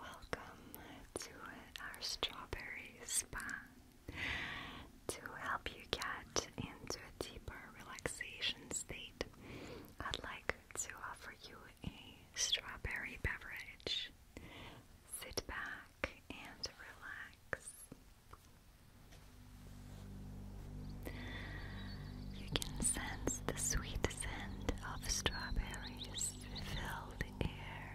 Welcome to our strawberry spa to help you get into a deeper relaxation state. I'd like to offer you a strawberry beverage. Sit back and relax. You can sense the sweet sweet scent of strawberries filled the air.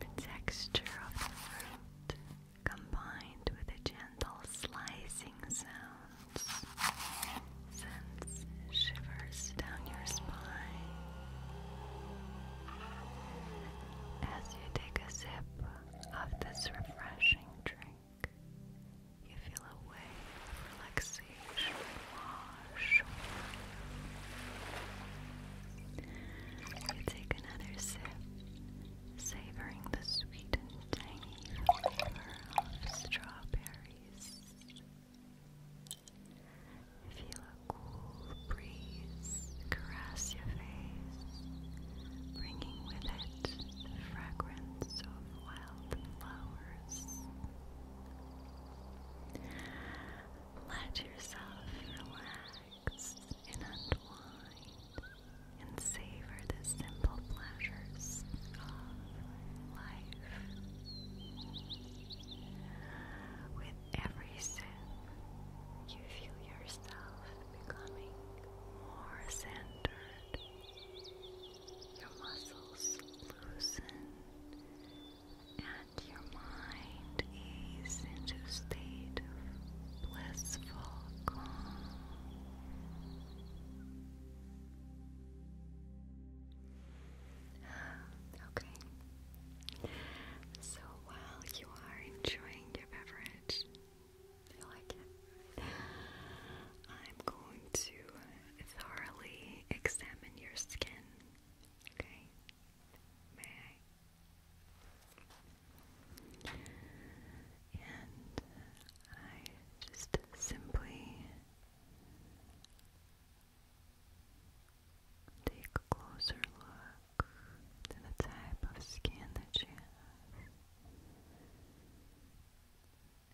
The texture of the fruit combined with the gentle slicing sounds sends shivers down your spine. As you take a sip of this refreshing drink, think you feel a wave of relaxation wash over you. You take another sip, savoring the sweet and tangy flavor of strawberries. feel a cool breeze caress your face, bringing with it the fragrance of wildflowers. Let yourself relax and unwind and savor the simple pleasures of life. With every sip, you feel yourself becoming more centered your muscles loosen, and your mind is into a state of blissful calm. Okay. So while you are enjoying your beverage, I am going to thoroughly examine your skin. Okay? May I? And I just simply take a closer look to the type of skin that you have.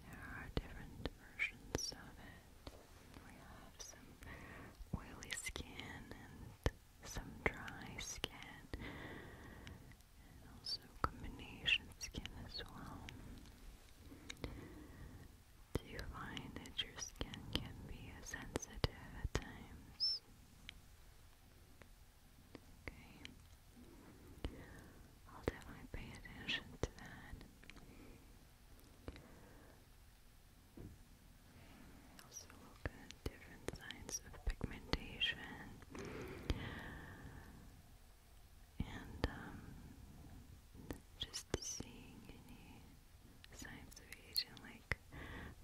There are different versions of it. We have some oily skin and some dry skin, and also combination skin as well. Do you find that your skin can be sensitive at times? Okay. I'll definitely pay attention to that. Also look at different signs of pigmentation and um, just seeing any signs of aging, like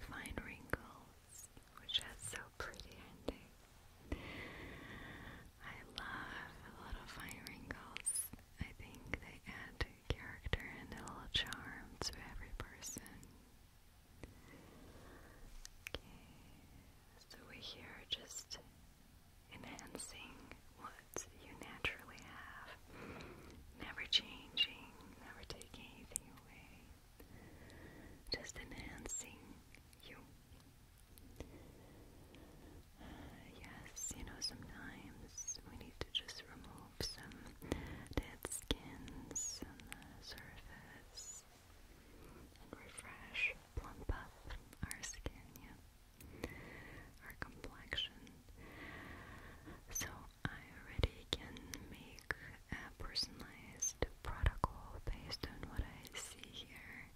fine wrinkles, which is so pretty, aren't they? I love little fine wrinkles. I think they add character and a little charm to every person. Okay, so we're here just enhancing what you naturally have, never changing, never taking anything away, just enhancing you yes, you know, sometimes we need to just remove some dead skins on the surface and refresh, plump up our skin, yeah, our complexion. So, I already can make a personalized protocol based on what I see here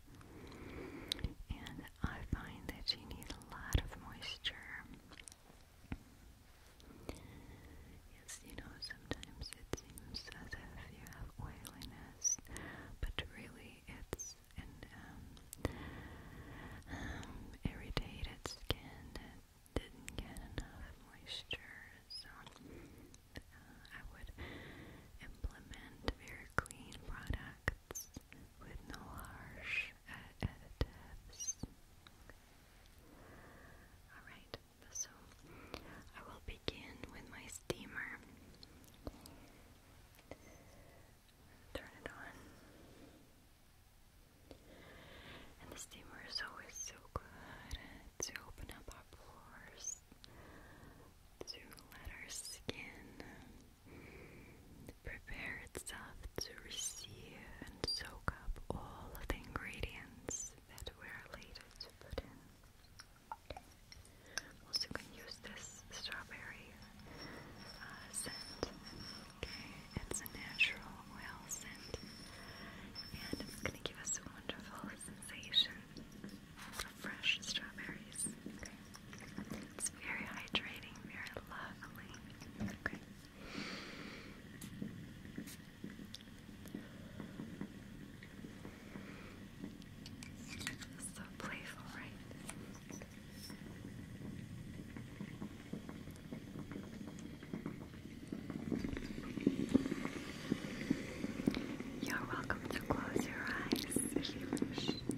and I find that you need a lot of moisture. Yes, you know, sometimes it seems as if you have oiliness, but really it's an um, um, irritated skin that didn't get enough moisture. I would implement very clean products with no harsh additives. Alright, so I will begin with my steamer. Turn it on. And the steamer is always so good to open up our pores to let our skin prepare itself to receive and soak up all of the ingredients that we're later to put in. Also, can use this strawberry uh, scent. Okay, it's a natural oil scent, and it's gonna give us a wonderful sensation fresh strawberries. It's very hydrating, very lovely. Okay. So playful, right? You're welcome to close your eyes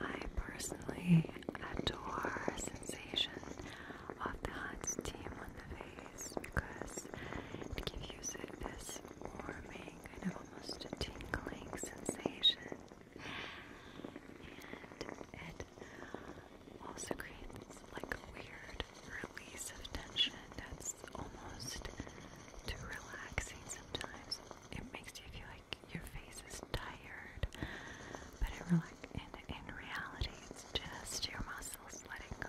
I personally adore the sensation of the hot steam on the face because it gives you this warming, kind of almost tingling sensation. And it also creates like a weird release of tension that's almost to relaxing sometimes. It makes you feel like your face is tired, but it relax in in reality it's just your muscles letting go.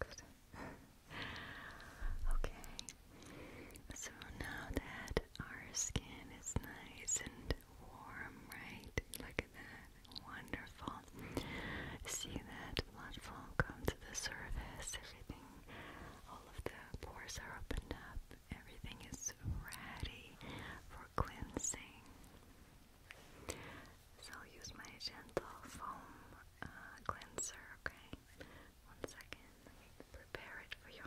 Good. okay. So now that our skin is nice and warm, right? Look at that. Wonderful. See that blood flow come to the surface. Everything, all of the pores are opened up. Everything is ready for cleansing. So use my gentle foam uh, cleanser, okay? One second, let me prepare it for you.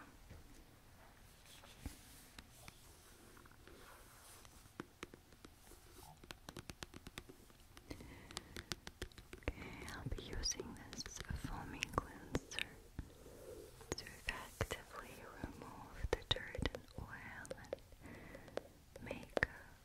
Okay, I'll be using this foaming cleanser to effectively remove the dirt and oil and makeup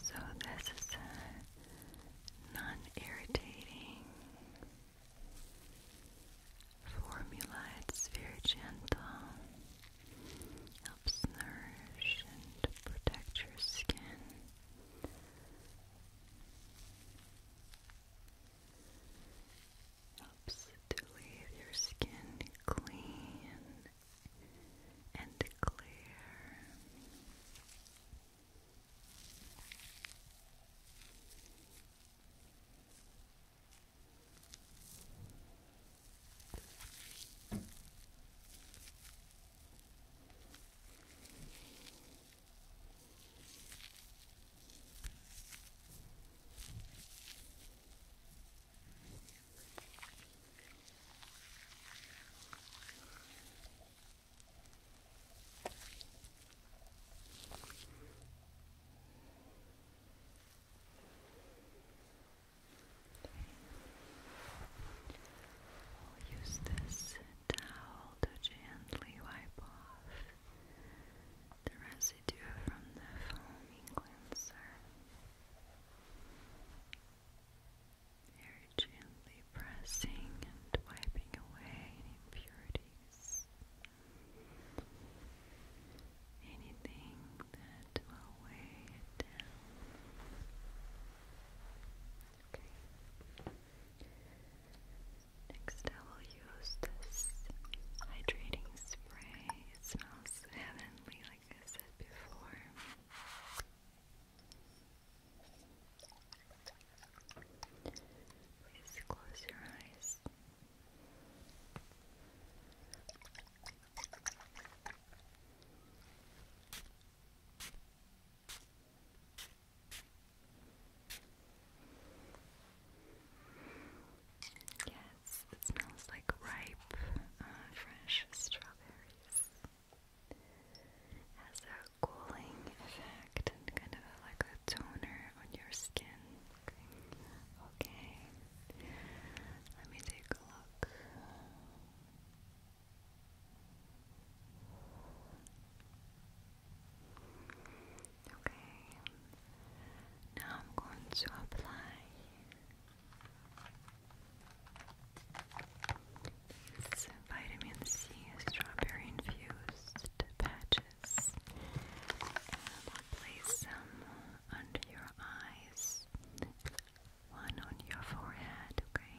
So this is non-irritating formula. very gentle. Helps nourish and protect your skin. Helps to leave your skin clean and clear. I'll use this towel to gently wipe off the residue from the foaming cleanser. gently pressing and wiping away impurities. Anything that will weigh it down. Next, I will use this hydrating spray. smells heavenly, like I said before. Please close your eyes. Yes, it smells like ripe, uh, fresh strawberries. Has a cooling effect kind of like a toner on your skin. Okay, let me take a look. Okay, now I'm going to apply these vitamin C strawberry infused patches, and place some under your eyes, one on your forehead, okay.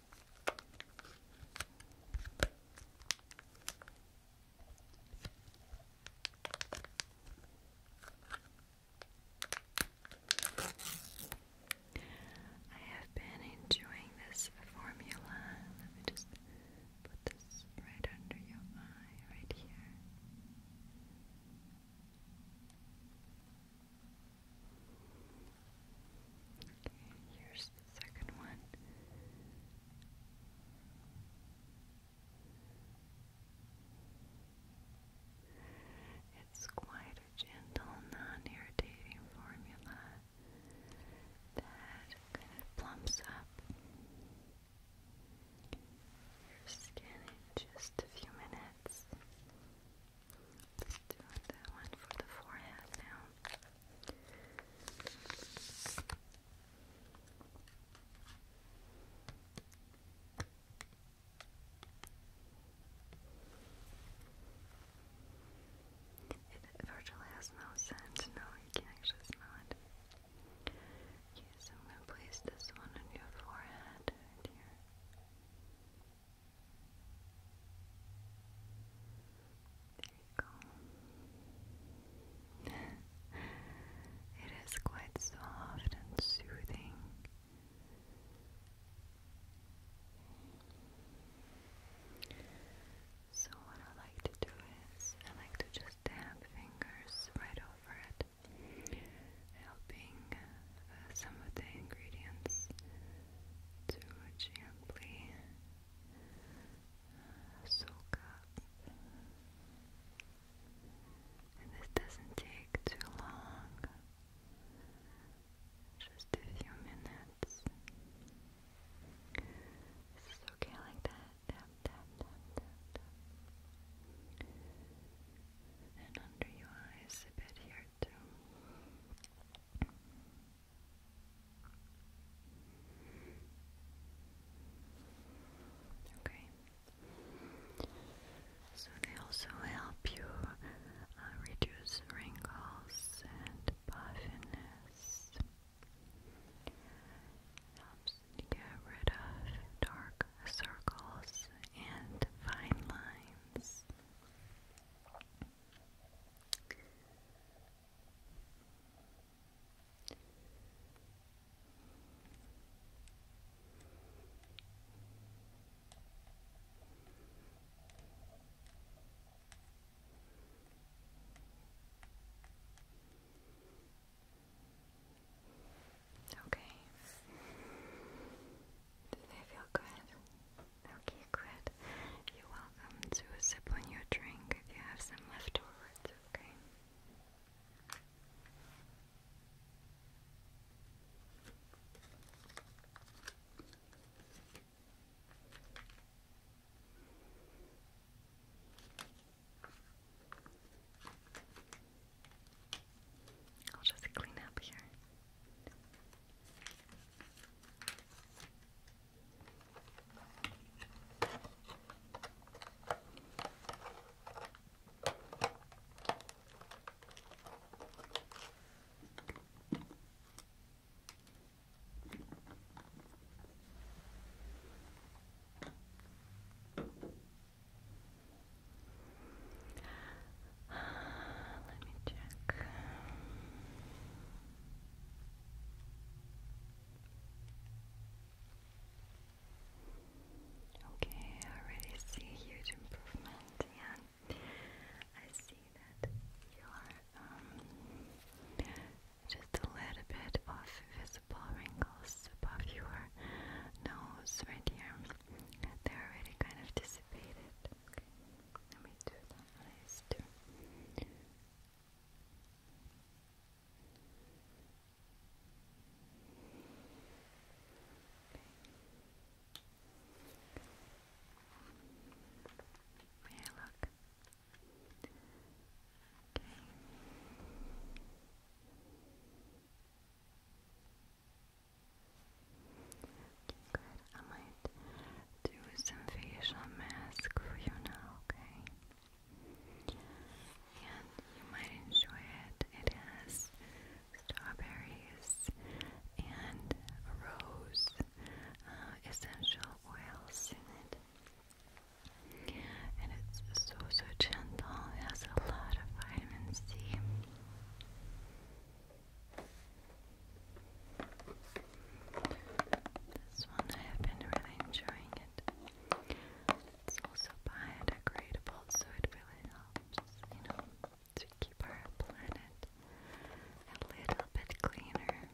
I have been enjoying this formula. just put this right under your eye, right here. Okay, here's the second one. It's quite a gentle, non irritating formula that kind of plumps up your skin in just a few minutes let do that one for the forehead now. It virtually has no scent. No, you can actually smell it. Okay, I'm gonna place this one on your forehead right it is quite soft and soothing. So, what I like to do is, I like to just tap fingers right over it, helping uh, some of the ingredients to gently soak up. this doesn't take too long, just a few minutes. This is okay like that. Tap, tap, tap, tap, tap. And under your eyes a bit here too. Okay. So they also help you uh, reduce wrinkles and puffiness. Helps get rid of dark circles and fine lines. Okay. Do they feel good? Okay, great. You're welcome to sip on your drink if you have some left over, okay? I'll just clean up here. Let me check. Okay, I already see huge improvement, and I see that you are um, just a little bit of visible wrinkles above your nose right here. They're already kind of dissipated. Okay, let me do the eyes Okay good. I might do some facial mask for you now, okay? And you might enjoy it. It has strawberries and rose essential oils in it. And it's so, so gentle. It has a lot of vitamin C. This one I have been really enjoying it. It's also biodegradable, so it really helps, you know, to keep our planet a little bit cleaner.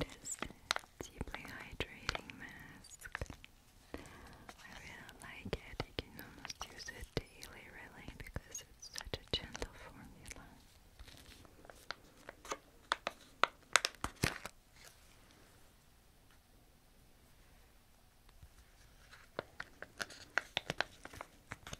It is a deeply hydrating mask. I really like it. You can almost use it daily, really, because it's such a gentle formula.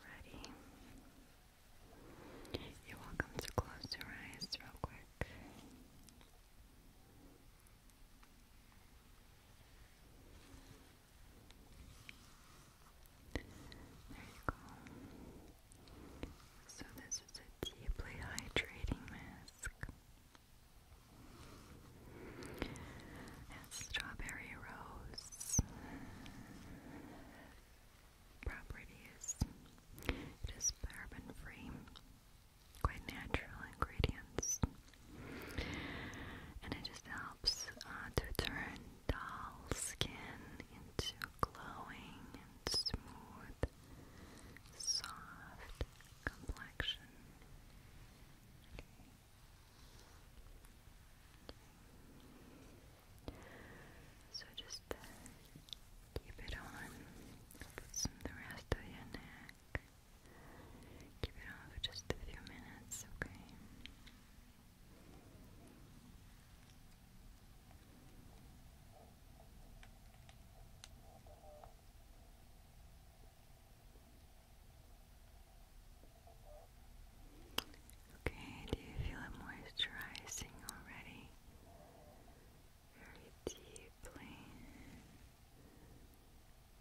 Ready? You're welcome to close your eyes real quick. There you go. So, this is a deeply hydrating mask. And strawberry rose properties. It is paraben free, quite natural ingredients, and it just helps uh, to turn dull skin into glowing and smooth, soft complexion. So just uh, keep it on, put some the rest of your neck. Keep it on for just a few minutes, Okay. Okay, do you feel it moisturizing already? Very deeply.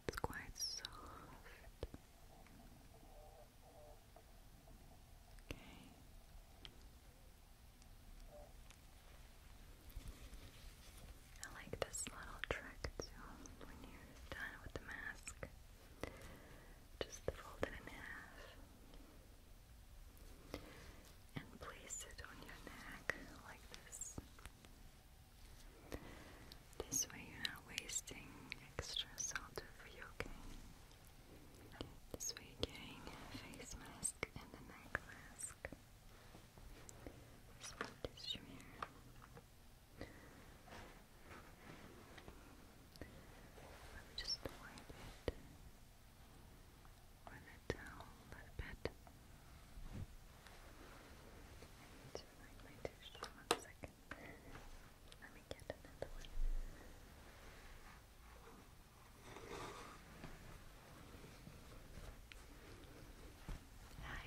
It's quite soft. Okay. I like this little trick too when you you done with the mask. Just fold in half and place it on your neck like this. This way you're not wasting extra solder for your cane. This way you're getting a face mask and a neck mask. Just put tissue here. Let me just wipe a little bit. I need to find my tissue. One second. Let me get another one. Hi.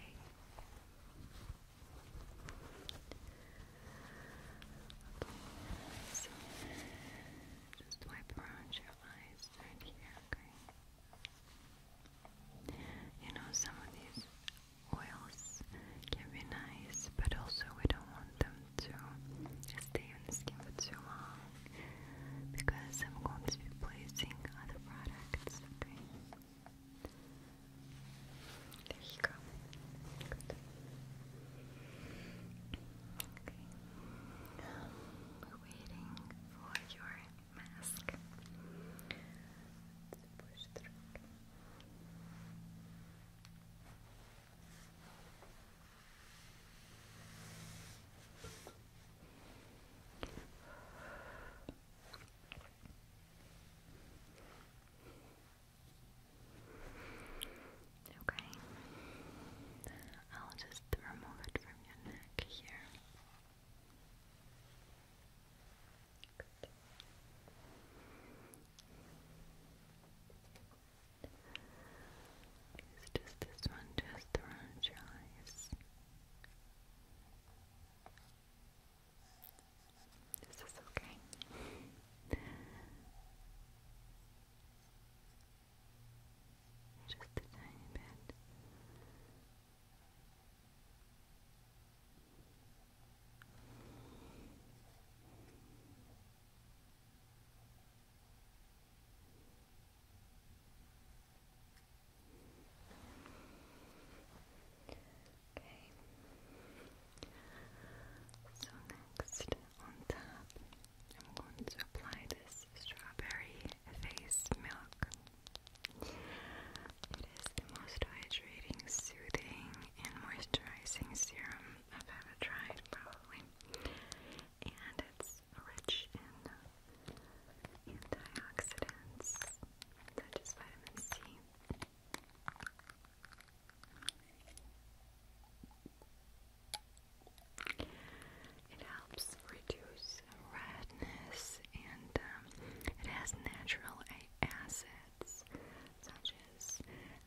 Okay, just wipe around your eyes right here, You know, some of these oils can be nice, but also we don't want them to stay on the skin too long because I'm going to be placing other products, there you go. Okay. Um, we're waiting for your mask. Let's push through. Okay. I'll just remove it from your neck here. just this one just around your eyes. Is this okay? Just a tiny bit. Okay. So next on top, I'm going to apply this strawberry face milk. It is the most hydrating, soothing, and moisturizing serum I've ever tried, probably. And it's rich in antioxidants such as vitamin C. It helps reduce redness and um, it has natural acids such as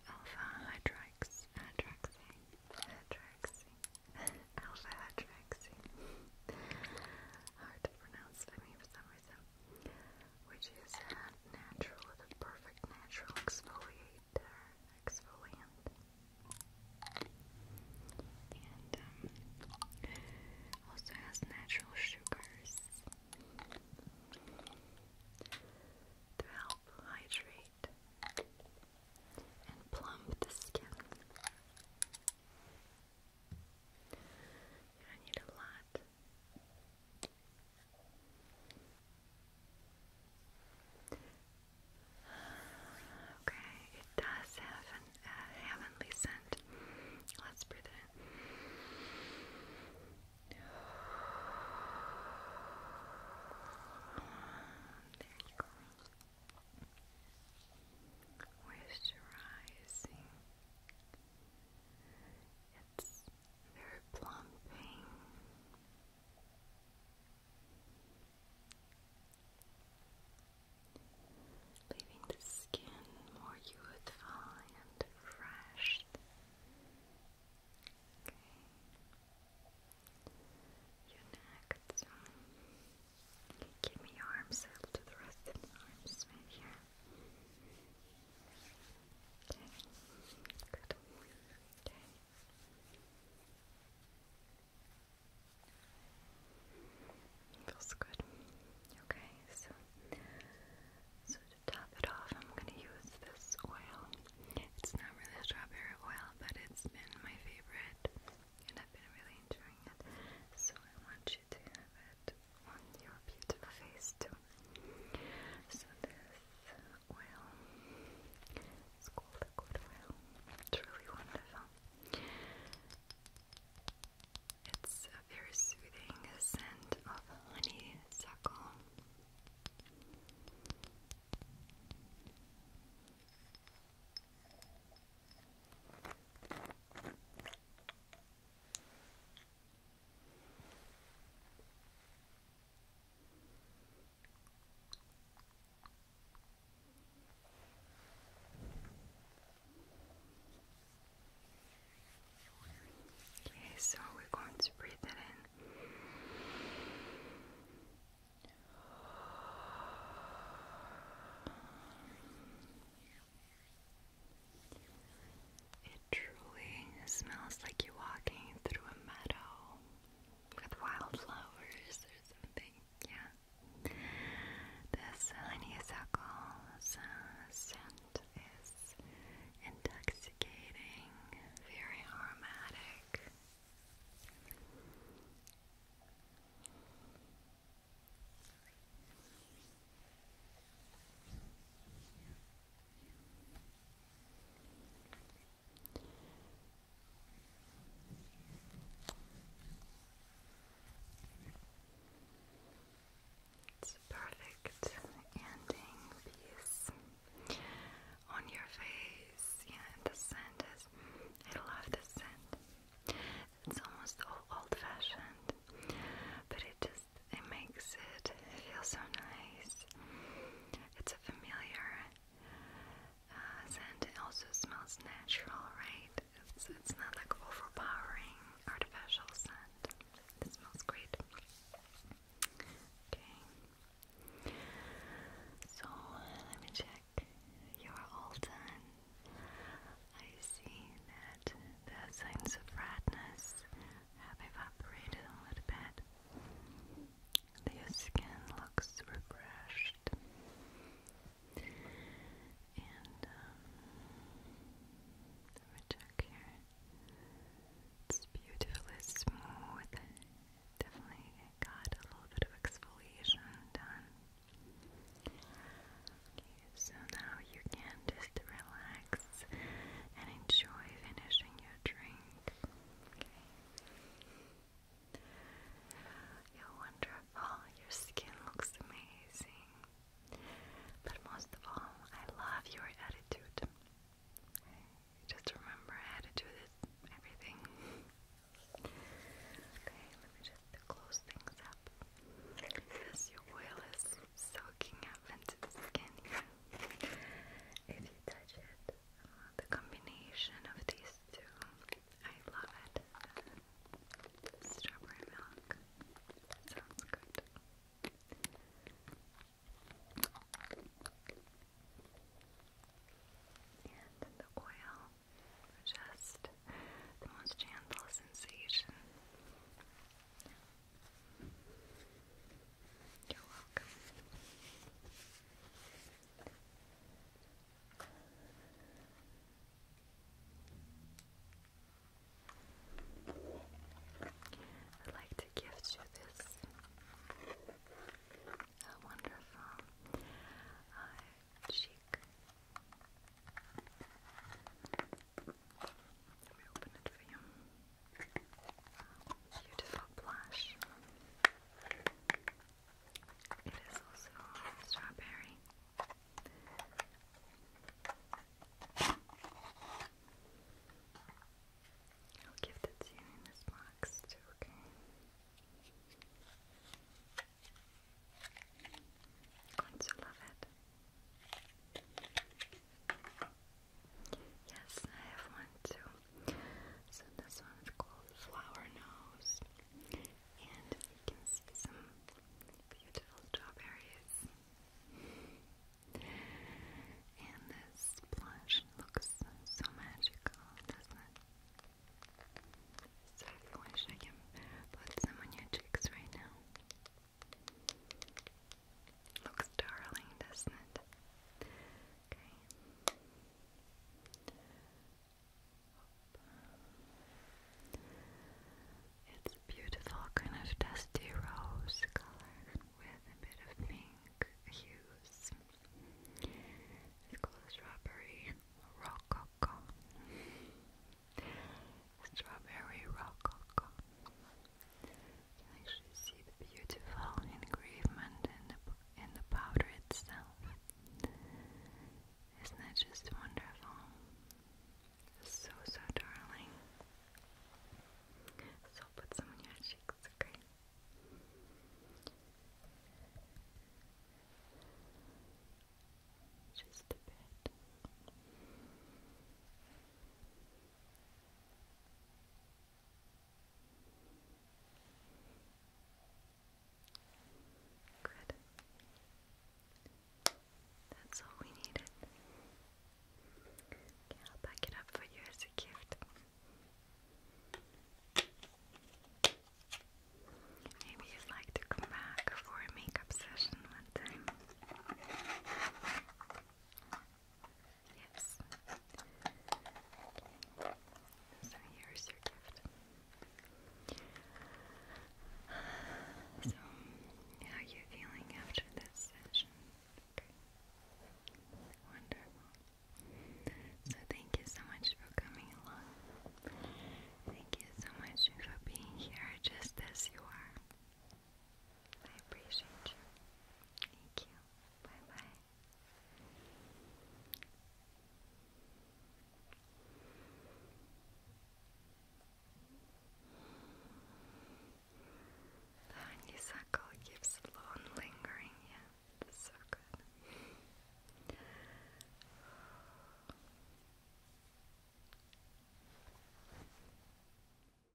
alpha hydrox hydroxine, hydroxine, alpha hydroxine. Hard to pronounce for me for some reason which is a natural, the perfect natural exfoliator, exfoliant. And um, also has natural sugars to help hydrate and plump the skin. You need a lot that. Okay, it does have a heavenly scent. Let's breathe in. There you go. Moisturizing. It's very plumping. Leaving the skin more youthful and fresh. Okay. Your neck, Give me your arms a little the rest of the arms right Okay. Good. Okay. Feels good. Okay, so so to top it off, I'm gonna use this oil. It's not really a strawberry oil, but it's been my favorite, and I've been really enjoying it. So I want you to have it on your beautiful face too. So this oil is called liquid oil. It's really wonderful. It's a very soothing scent of honeysuckle. It's Okay, so we're going to breathe it in. It truly smells like you're walking through a meadow with wildflowers or something. Yeah. This honeysuckle's scent is intoxicating, very aromatic. It's a perfect ending piece on your face. Yeah, the scent is. I love the scent. It's almost old fashioned, but it just it makes it feel so nice. It's a familiar uh, scent. It also smells natural, right? It's, not like overpowering artificial scent. This smells great. Okay. So let me check. You're all done. I see that the signs of redness have evaporated a little bit. Your skin looks refreshed. And, um, let me It's beautifully smooth. Definitely got a little bit of exfoliation done so now you can just relax and enjoy finishing your drink. You're wonderful, your skin looks amazing. But most of all, I love your attitude. Just remember, attitude is everything. Okay, let me just close things up. Because your oil is soaking up into the skin here. If you touch it, uh, the combination of these two, I love it. Strawberry milk sounds good. And the oil, just the most gentle sensation you I'd like to gift you this. wonderful uh, cheek let me open it for you. Beautiful blush. It is also strawberry. I'll give that to in this box too, okay? Going to love it. Yes, I have one too. So this one is called Flower Nose. And you can see some beautiful strawberries. And this blush looks so magical, doesn't it? So I wish I can put some on your cheeks right now. Looks darling, doesn't it? It's beautiful kind of dusty rose color with a bit of pink hues. It's called strawberry rococo. Strawberry rock. You actually see the beautiful engravement in in the powder itself. Isn't that just wonderful? So, so darling. Just a bit. Good. That's all we needed. I'll pack it up for you as a gift. Maybe you'd like to come back for a makeup session one time. Yes. So here's your gift. So, how are you feeling after this session? Wonderful. So, thank you so much for coming along. Thank you so much for being here just as you are. I appreciate you. Thank you. Bye bye. The honeysuckle gives long lingering, yeah. That's so good.